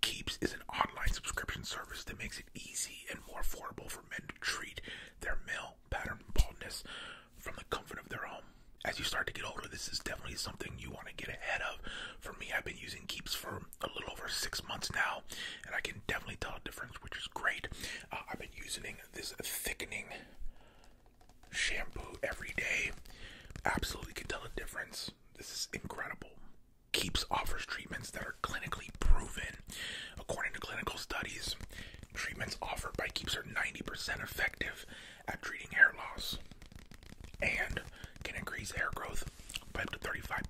Keeps is an online subscription service that makes it easy and more affordable for men to treat their male pattern baldness from the comfort of their home. As you start to get older, this is definitely something you want to get ahead of. For me, I've been using Keeps for a little over six months now, and I can definitely tell a difference, which is great. Uh, I've been using this thickening shampoo every day. Absolutely can tell a difference. This is incredible keeps offers treatments that are clinically proven. According to clinical studies, treatments offered by Keeps are 90% effective at treating hair loss and can increase hair growth by up to 35%.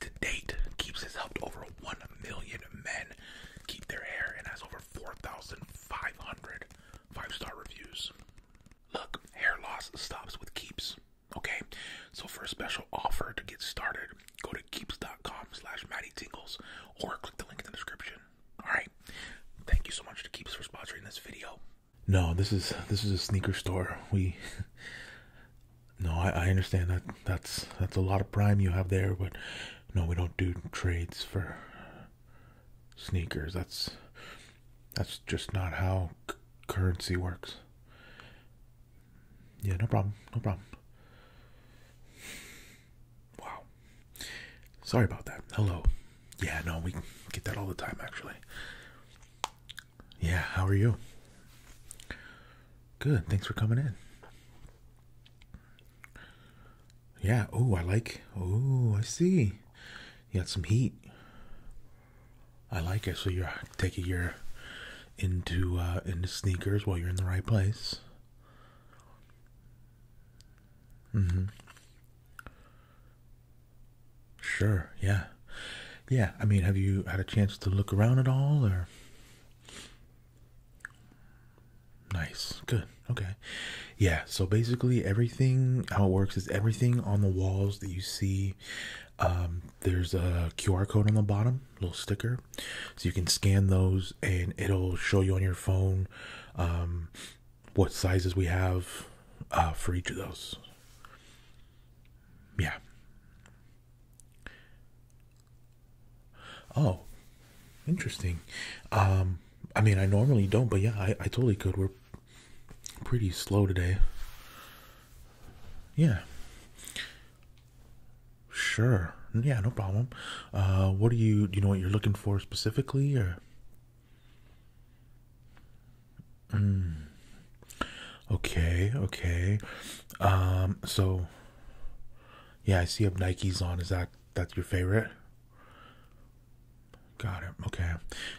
To date, Keeps has helped over 1 million men keep their hair and has over 4,500 five star reviews. Look, hair loss stops with Keeps. Okay, so for a special offer to get started, go to keeps.com slash matty Tingles or click the link in the description. Alright. Thank you so much to Keeps for sponsoring this video. No, this is this is a sneaker store. We No, I understand that that's that's a lot of prime you have there, but no, we don't do trades for sneakers. That's that's just not how currency works. Yeah, no problem. No problem. Wow. Sorry about that. Hello. Yeah, no, we get that all the time, actually. Yeah, how are you? Good. Thanks for coming in. Yeah. Oh, I like. Oh, I see. You got some heat. I like it. So you're taking your into uh, into sneakers while you're in the right place. Mm-hmm. Sure. Yeah. Yeah. I mean, have you had a chance to look around at all, or? Nice. Good. Okay. Yeah. So basically, everything how it works is everything on the walls that you see. Um, there's a QR code on the bottom, little sticker, so you can scan those, and it'll show you on your phone um, what sizes we have uh, for each of those. Yeah. Oh, interesting. Um, I mean, I normally don't, but yeah, I, I totally could. We're pretty slow today. Yeah. Sure. Yeah, no problem. Uh, what do you do? You know what you're looking for specifically, or? Mm. Okay. Okay. Um. So. Yeah, I see you have Nikes on. Is that that's your favorite? Got it. Okay.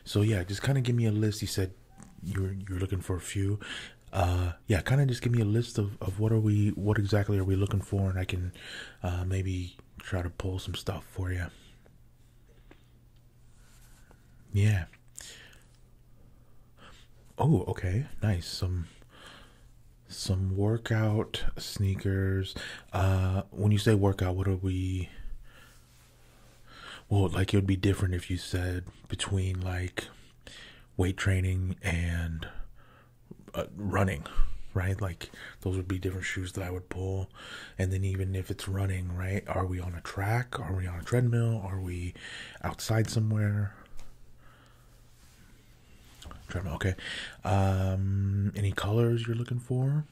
So yeah, just kind of give me a list. You said you're you're looking for a few. Uh, yeah, kind of just give me a list of of what are we, what exactly are we looking for, and I can uh, maybe try to pull some stuff for you. Yeah. Oh, okay. Nice. Some some workout sneakers. Uh, when you say workout, what are we? well like it would be different if you said between like weight training and uh, running right like those would be different shoes that i would pull and then even if it's running right are we on a track are we on a treadmill are we outside somewhere treadmill okay um any colors you're looking for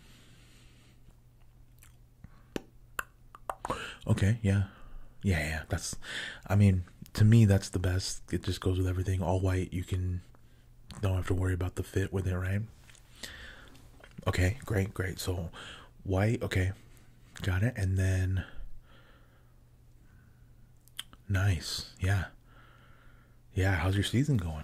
Okay, yeah. Yeah, yeah. That's I mean, to me that's the best. It just goes with everything. All white, you can don't have to worry about the fit with it, right? Okay, great, great. So white, okay. Got it. And then nice. Yeah. Yeah, how's your season going?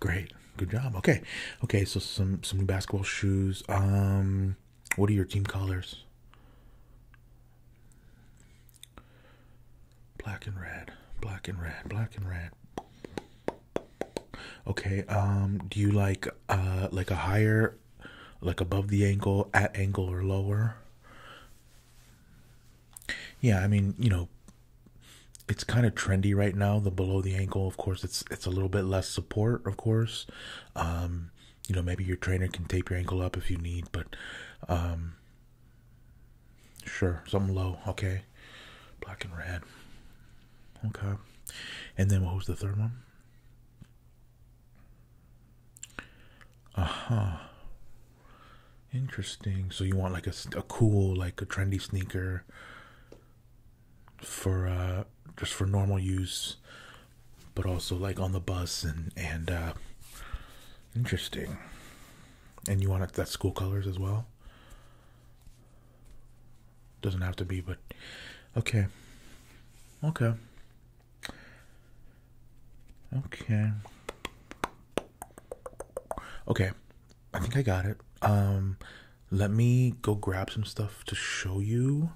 Great. Good job. Okay. Okay, so some some new basketball shoes. Um what are your team colors? Black and red. Black and red. Black and red. Okay, um do you like uh like a higher like above the ankle, at ankle or lower? Yeah, I mean, you know, it's kind of trendy right now. The below the ankle, of course, it's it's a little bit less support, of course. Um, you know, maybe your trainer can tape your ankle up if you need, but um, sure, something low, okay, black and red, okay. And then what was the third one? Uh huh. Interesting. So you want like a, a cool, like a trendy sneaker for uh, just for normal use, but also like on the bus and and uh, interesting. And you want that school colors as well. Doesn't have to be, but okay, okay, okay, okay. I think I got it. Um, let me go grab some stuff to show you.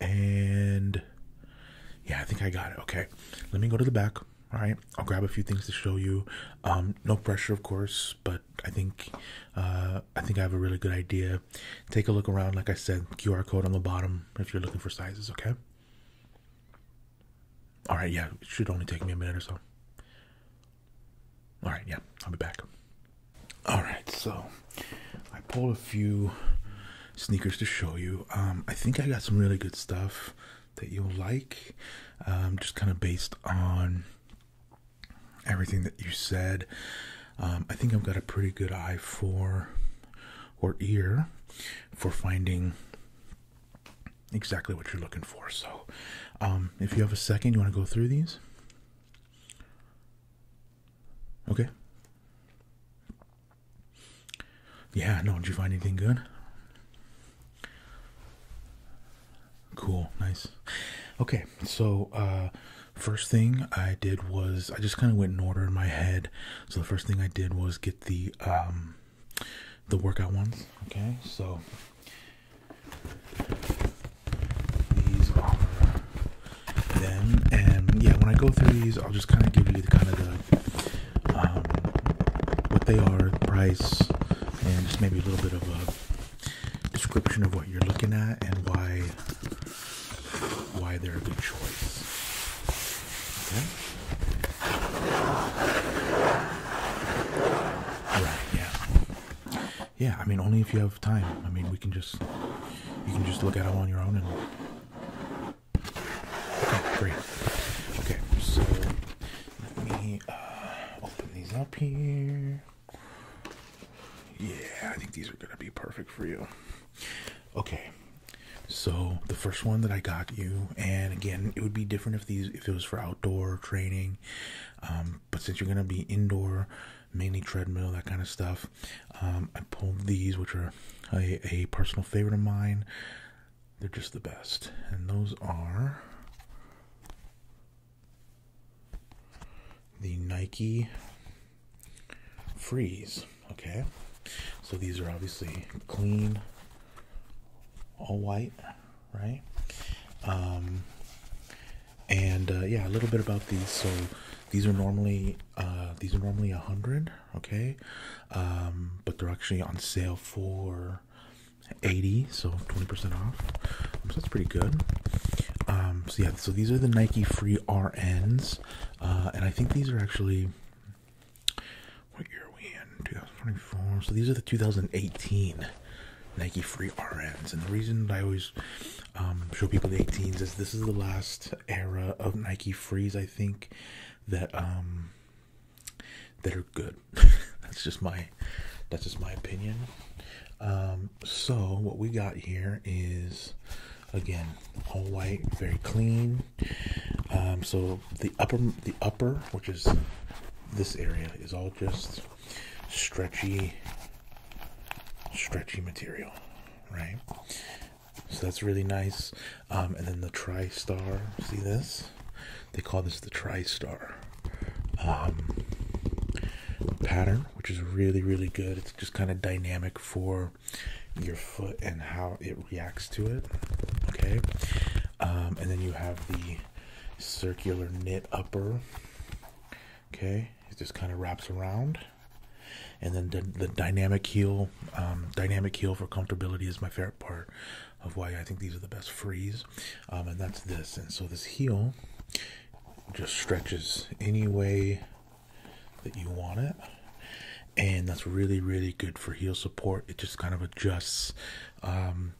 And yeah, I think I got it. Okay, let me go to the back. All right, I'll grab a few things to show you. Um, no pressure, of course, but I think uh, I think I have a really good idea. Take a look around. Like I said, QR code on the bottom if you're looking for sizes. Okay. All right, yeah, it should only take me a minute or so. All right, yeah, I'll be back. All right, so I pulled a few sneakers to show you. Um, I think I got some really good stuff that you'll like, um, just kind of based on everything that you said. Um, I think I've got a pretty good eye for or ear for finding exactly what you're looking for. So, um, if you have a second, you want to go through these? Okay. Yeah, no, did you find anything good? Cool, nice. Okay, so uh, first thing I did was I just kind of went in order in my head. So the first thing I did was get the um, the workout ones. Okay, so these are them, and yeah, when I go through these, I'll just kind of give you the kind of the um, what they are, the price, and just maybe a little bit of a description of what you're looking at and why why they're a good choice. Okay yeah. Yeah, I mean only if you have time. I mean we can just you can just look at them on your own and great. Okay, so let me uh, open these up here. Yeah, I think these are gonna be perfect for you. Okay, so the first one that I got you, and again, it would be different if these if it was for outdoor training. Um, but since you're gonna be indoor, mainly treadmill, that kind of stuff, um, I pulled these, which are a personal favorite of mine. They're just the best, and those are the Nike Freeze. Okay, so these are obviously clean all white, right? Um, and uh, yeah, a little bit about these. So these are normally uh, these are normally a hundred, okay? Um, but they're actually on sale for eighty, so twenty percent off. So that's pretty good. Um, so yeah, so these are the Nike Free RNs, uh, and I think these are actually what year are we in? 2024. So these are the 2018 Nike Free RNs, and the reason I always um, show people the 18s is this is the last era of Nike Frees. I think that um, that are good. that's just my that's just my opinion. Um, so what we got here is again all white, very clean. so the upper, the upper, which is this area, is all just stretchy, stretchy material, right? So that's really nice. Um, and then the TriStar, see this? They call this the TriStar um, pattern, which is really, really good. It's just kind of dynamic for your foot and how it reacts to it. Okay, um, and then you have the circular knit upper. Okay, it just kind of wraps around, and then the, dynamic heel, um, dynamic heel for comfortability is my favorite part of why I think these are the best frees, um, and that's this. And so this heel just stretches any way that you want it and that's really really good for heel support it just kind of adjusts um,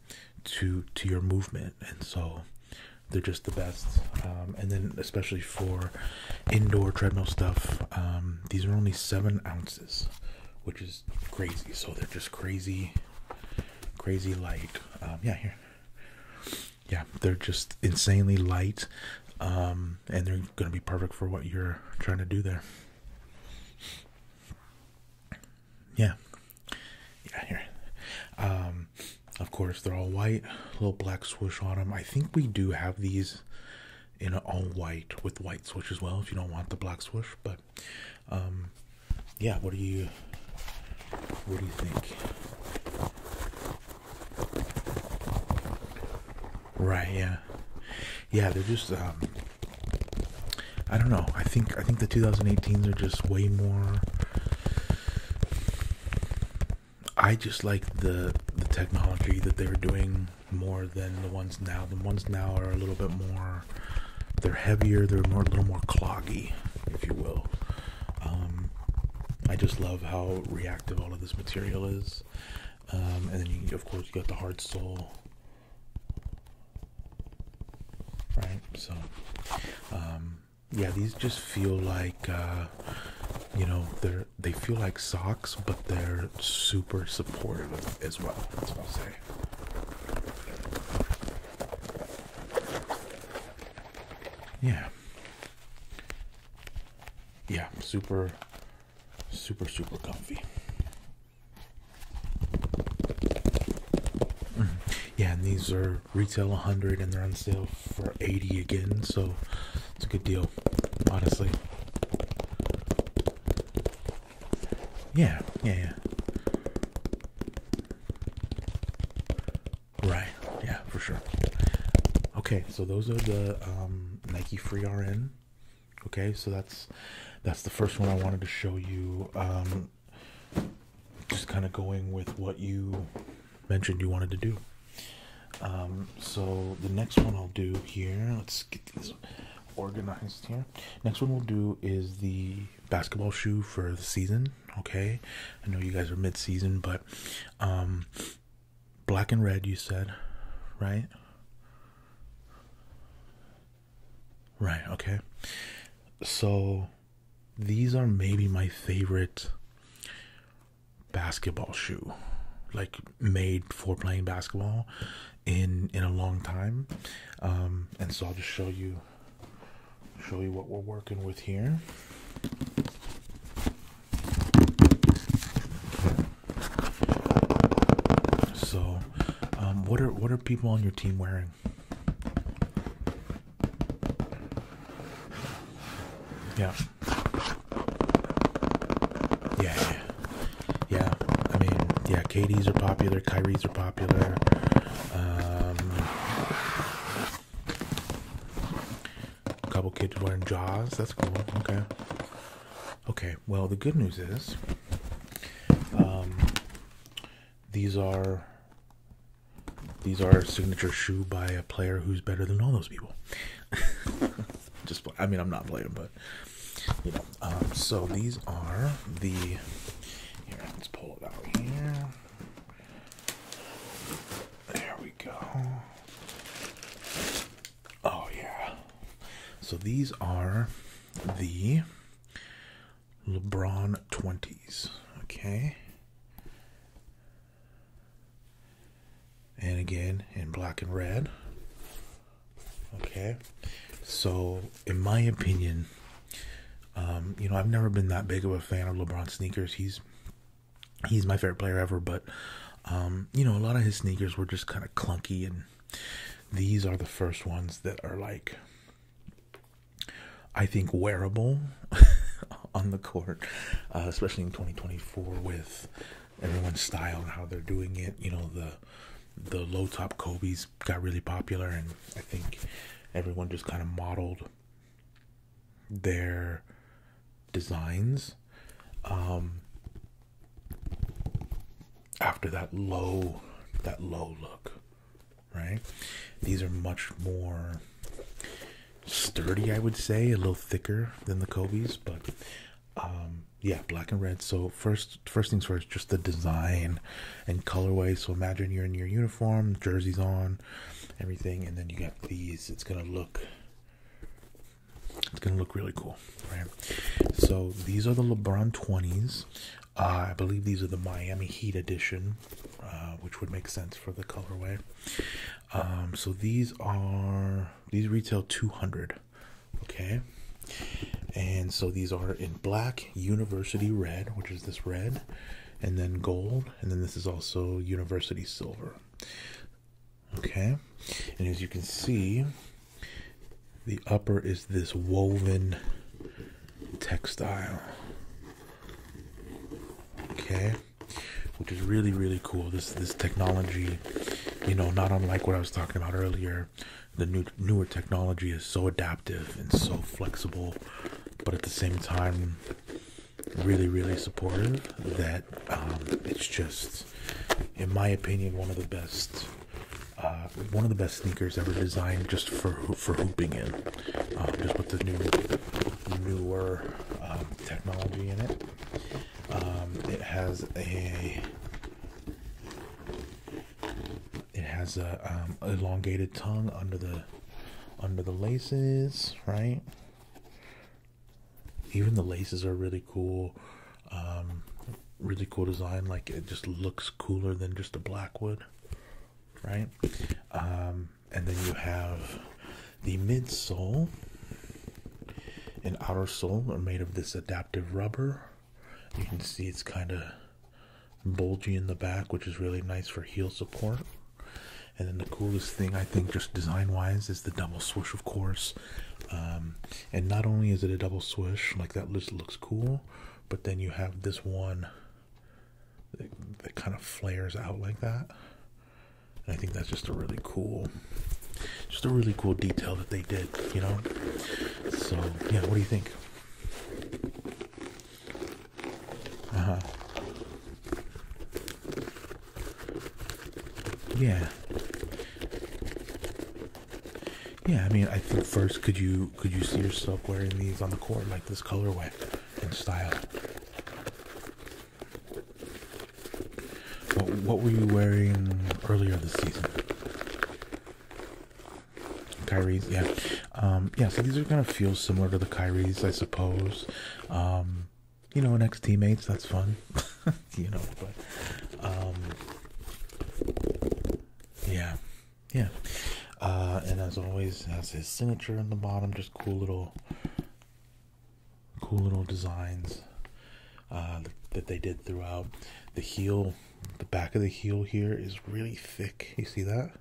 to to your movement and so they're just the best um, and then especially for indoor treadmill stuff um, these are only seven ounces which is crazy so they're just crazy crazy light yeah here yeah they're just insanely light and they're gonna be perfect for what you're trying to do there yeah. Yeah, here. Um, of course, they're all white. Little black swoosh on them. I think we do have these in all white with white swoosh as well. If you don't want the black swoosh, but um, yeah. What do you? What do you think? Right. Yeah. Yeah. They're just um, I don't know. I think I think the 2018s are just way more. I just like the the technology that they're doing more than the ones now. The ones now are a little bit more. They're heavier. They're more a little more cloggy, if you will. Um, I just love how reactive all of this material is. Um, and then, you, of course, you got the hard sole right so um, yeah these just feel like uh, you know they're they feel like socks but they're super supportive as well that's what i say yeah yeah super super super comfy Mm-hmm. Yeah, and these are retail 100 and they're on sale for 80 again, so it's a good deal, honestly. Yeah, yeah, Right, yeah, for sure. Okay, so those are the um, Nike Free RN okay so that's that's the first one i wanted to show you um, just kind of going with what you mentioned you wanted to do um, so the next one i'll do here let's get these organized here next one we'll do is the basketball shoe for the season okay i know you guys are mid-season but um, black and red you said right Right, okay. So these are maybe my favorite basketball shoe like made for playing basketball in in a long time um and so i'll just show you show you what we're working with here so, um, what are what are people on your team wearing? Yeah. Yeah. Yeah. I mean, yeah, KDs are popular, Kyries are popular. Um, a couple kids wearing Jaws. That's cool. Okay. Okay, well, the good news is um, these are these are signature shoe by a player who's better than all those people. Just, I mean, I'm not playing, but you know. Um, so these are the. Here, let's pull it out here. There we go. Oh, yeah. So these are the LeBron 20s. Okay. And again, in black and red. Okay. So, in my opinion, um, you know, I've never been that big of a fan of LeBron sneakers. He's he's my favorite player ever, but um, you know, a lot of his sneakers were just kind of clunky and these are the first ones that are like, I think, wearable on the court, uh, especially in 2024 with everyone's style and how they're doing it. You know, the the low top Kobe's got really popular, and I think everyone just kind of modeled their designs. Um, after that low that low look right these are much more sturdy i would say a little thicker than the kobe's but um yeah black and red so first first things first just the design and colorway so imagine you're in your uniform jerseys on everything and then you got these it's gonna look it's gonna look really cool, right? So these are the LeBron 20s. Uh, I believe these are the Miami Heat edition, uh, which would make sense for the colorway. Um, so these are these retail 200, okay? And so these are in black, university red, which is this red, and then gold, and then this is also university silver. Okay, and as you can see, the upper is this woven textile. Okay, which is really really cool. This this technology, you know, not unlike what I was talking about earlier, the new newer technology is so adaptive and so flexible, but at the same time, really really supportive. That um, it's just, in my opinion, one of the best uh, one of the best sneakers ever designed, just for for hooping in, um, just with the new newer um, technology in it. Um, it has a it has a elongated tongue under the under the laces, right? even the laces are really cool um, really cool design like it just looks cooler than just a black wood right um, and then you have the midsole and outer sole are made of this adaptive rubber you can see it's kind of bulgy in the back which is really nice for heel support and then the coolest thing i think just design wise is the double swoosh of course um, and not only is it a double swish, like that looks cool, but then you have this one that, kind of flares out like that. I think that's just a really cool, just a really cool detail that they did, you know? So, yeah, what do you think? Uh huh. Yeah. Yeah, I mean, I think first, could you could you see yourself wearing these on the court like this colorway and style? What, were you wearing earlier this season? Kyrie's, yeah, um, yeah. So these are gonna feel similar to the Kyrie's, I suppose. Um, you know, an ex-teammates, that's fun. you know, but um, yeah, yeah. Uh, and as always, has his signature in the bottom, just cool little, cool little designs uh, that they did throughout. The heel, the back of the heel here is really thick. You see that?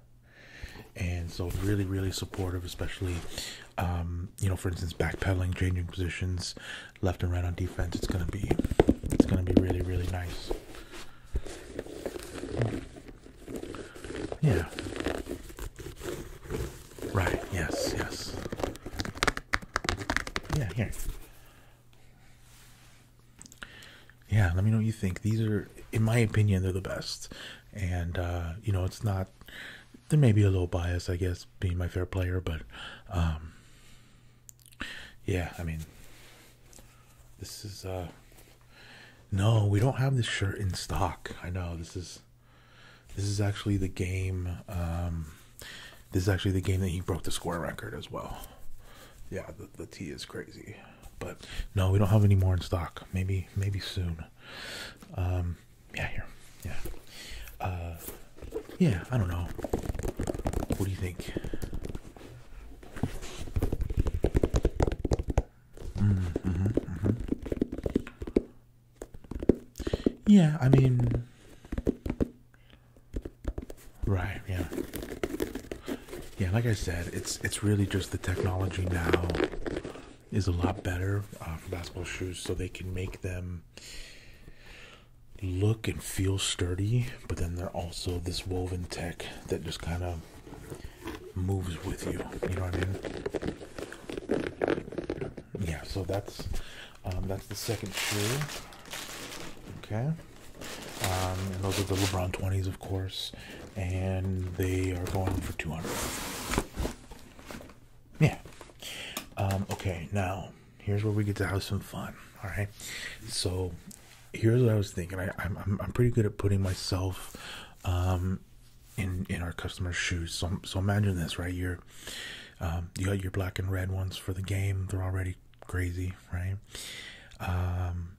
and so really really supportive especially um, you know for instance backpedaling changing positions left and right on defense. It's gonna be it's gonna be really really nice. Yeah. Right. Yes. Yes. Yeah. Here. Yeah. Let me know what you think. These are, in my opinion, they're the best. And uh, you know, it's not. There may be a little bias, I guess being my fair player, but um, yeah, I mean, this is uh, no, we don't have this shirt in stock. I know this is this is actually the game. Um, this is actually the game that he broke the score record as well. Yeah, the, the tea is crazy, but no, we don't have any more in stock. Maybe maybe soon. Um, yeah, here, yeah, uh, yeah. I don't know. What do you think? Mm-hmm, mm-hmm, mm-hmm. Yeah, I mean, right? Yeah, yeah. Like I said, it's it's really just the technology now is a lot better uh, for basketball shoes, so they can make them look and feel sturdy, but then they're also this woven tech that just kind of moves with you. You know what I mean? Yeah. So that's um, that's the second shoe. Okay. Um, and those are the LeBron 20s, of course, and they are going for 200. Yeah. Um, okay, now Here's where we get to have some fun. All right. So here's what I was thinking. I, am I'm, I'm pretty good at putting myself um, in in our customers' shoes. So so imagine this, right? You're um, you got your black and red ones for the game. They're already crazy, right? Um,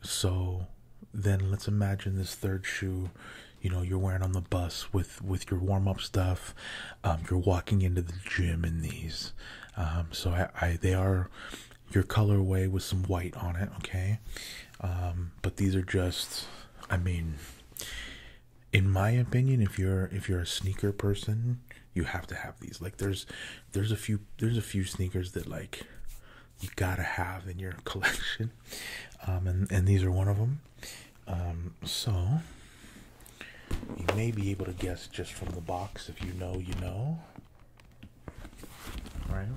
so then let's imagine this third shoe. You know, you're wearing on the bus with with your warm up stuff. Um, you're walking into the gym in these, um, so I, they are your colorway with some white on it. Okay, um, but these are just, I mean, in my opinion, if you're if you're a sneaker person, you have to have these. Like there's there's a few there's a few sneakers that like you gotta have in your collection, and and these are one of them. Um, so you may be able to guess just from the box if you know, you know, right?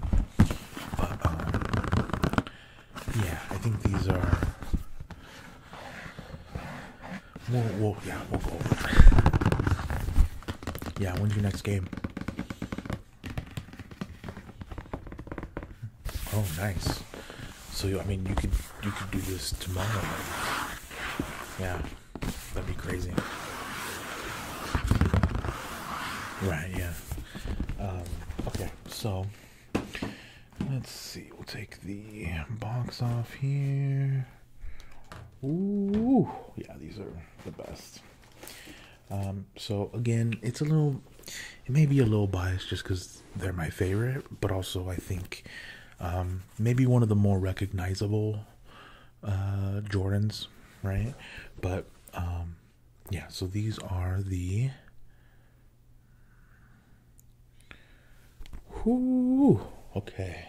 But um, yeah, I think these are. We'll, we'll yeah, we'll go Yeah, when's your next game? Oh, nice. So I mean, you could you could do this tomorrow. Yeah, that'd be crazy. Right? Yeah. Um, okay, so let's see. We'll take the box off here. Ooh, yeah, these are the best. Um, so again, it's a little, it may be a little biased just because they're my favorite, but also I think um, maybe one of the more recognizable uh, Jordans, right? But um, yeah, so these are the. Okay.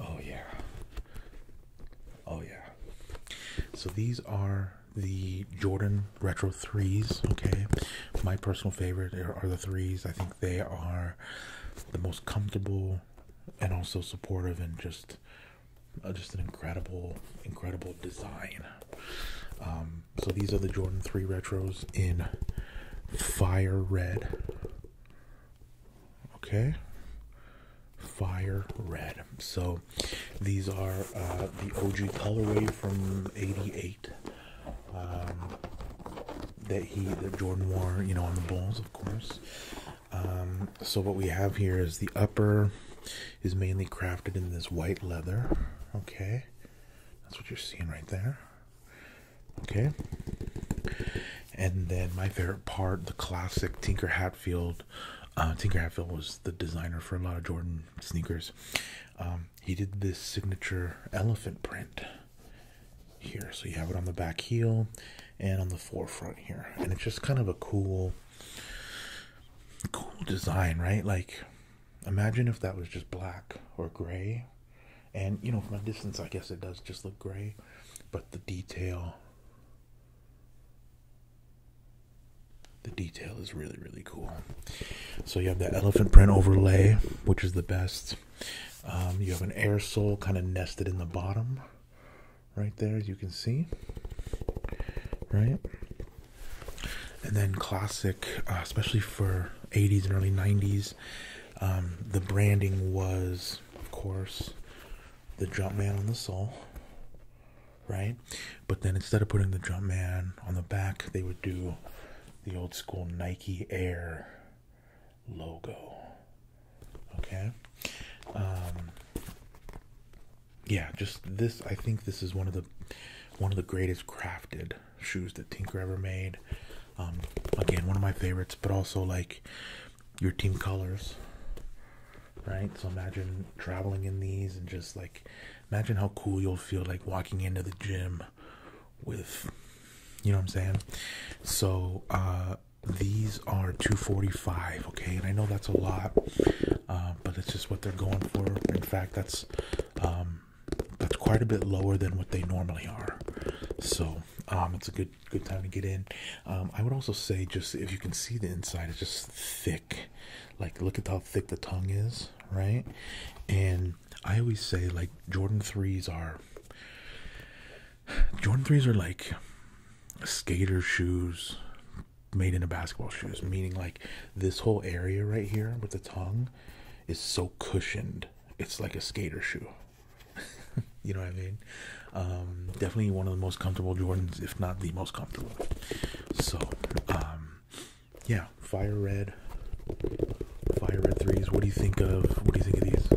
Oh yeah. Oh yeah. So these are the Jordan retro threes. Okay, my personal favorite are, the threes. I think they are the most comfortable and also supportive and just uh, just an incredible, incredible design. Um, so these are the Jordan three retros in fire red. Okay fire red so these are uh, the og colorway from 88 um, that he that Jordan wore, you know, on the balls, of course. Um, so what we have here is the upper is mainly crafted in this white leather. Okay, that's what you're seeing right there. Okay, and then my favorite part, the classic Tinker Hatfield. Uh, Tinker Hatfield was the designer for a lot of Jordan sneakers. Um, he did this signature elephant print here. So you have it on the back heel and on the forefront here. And it's just kind of a cool, cool design, right? Like, imagine if that was just black or gray. And, you know, from a distance, I guess it does just look gray. But the detail the detail is really really cool so you have the elephant print overlay which is the best um, you have an air sole kind of nested in the bottom right there as you can see right and then classic uh, especially for 80s and early 90s um, the branding was of course the jump man on the sole right but then instead of putting the Jumpman on the back, they would do the old school Nike Air logo. Okay. Um, yeah, just this. I think this is one of the one of the greatest crafted shoes that Tinker ever made. Um, again, one of my favorites, but also like your team colors, right? So imagine traveling in these and just like imagine how cool you'll feel like walking into the gym with you know what I'm saying? So uh, these are 245 okay and i know that's a lot uh, but it's just what they're going for in fact that's um, that's quite a bit lower than what they normally are so um, it's a good good time to get in um, i would also say just if you can see the inside it's just thick like look at how thick the tongue is right and i always say like jordan 3s are jordan 3s are like skater shoes made into basketball shoes meaning like this whole area right here with the tongue is so cushioned it's like a skater shoe you know what i mean um, definitely one of the most comfortable jordans if not the most comfortable so um, yeah, fire red, fire red threes. What do you think of? What do you think of these?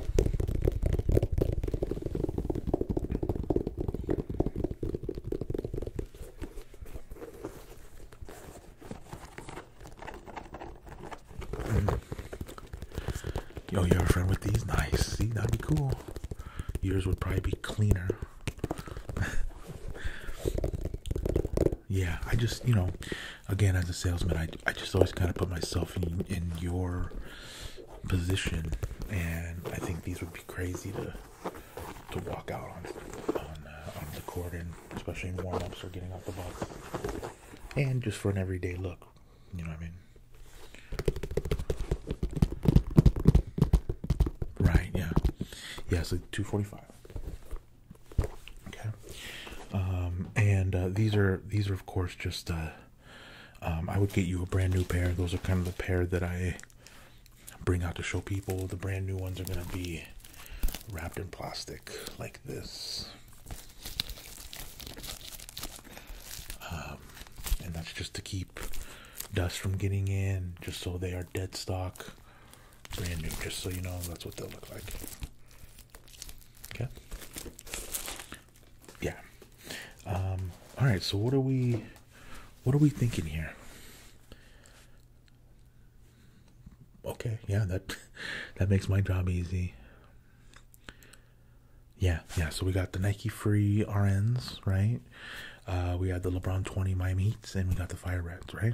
Mm. Yo, you are a friend with these? Nice. See, that'd be cool. Yours would probably be cleaner. yeah, I just, you know, again, as a salesman, I, I just always kind of put myself in, your position, and I think these would be crazy to to walk out on on, uh, the court, and especially in warm ups or getting off the bus, and just for an everyday look, you know what I mean. Right, yeah. Yeah, it's like 245. Okay, um, and uh, these are these are of course just. Uh, um, I would get you a brand new pair. Those are kind of the pair that I bring out to show people. The brand new ones are gonna be wrapped in plastic like this. Um, and that's just to keep dust from getting in, just so they are dead stock brand new, just so you know that's what they'll look like. Okay. Yeah. Um, all right. So what are we, what are we thinking here? Okay. Yeah. That that makes my job easy. Yeah. Yeah. So we got the Nike Free RNs, right? Uh, we had the LeBron 20 Miami Heats, and we got the Fire Reds, right?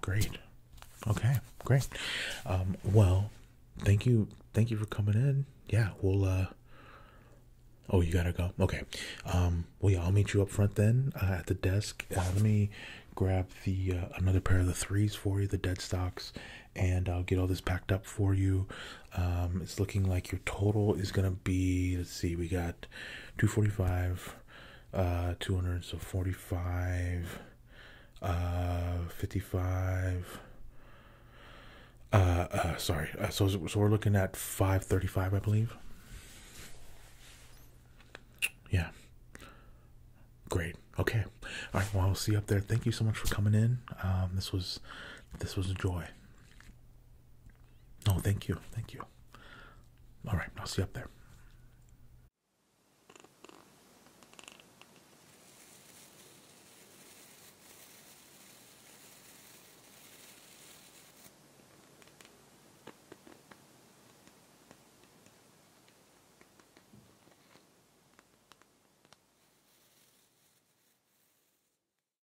Great. Okay, great. Um, well, thank you, thank you for coming in. Yeah, we'll. Uh, oh, you gotta go. Okay. Um, well, yeah, I'll meet you up front then uh, at the desk. let me grab the another pair of the threes for you, the dead stocks, and I'll get all this packed up for you. Um, it's looking like your total is gonna be. Let's see, we got two forty five, uh, two hundred, so forty five, uh, fifty five. Uh, uh, sorry. Uh, so, so we're looking at five thirty-five, I believe. Yeah. Great. Okay. All right. Well, I'll see you up there. Thank you so much for coming in. Um, this was, this was a joy. No, thank you. Thank you. All right, I'll see you up there.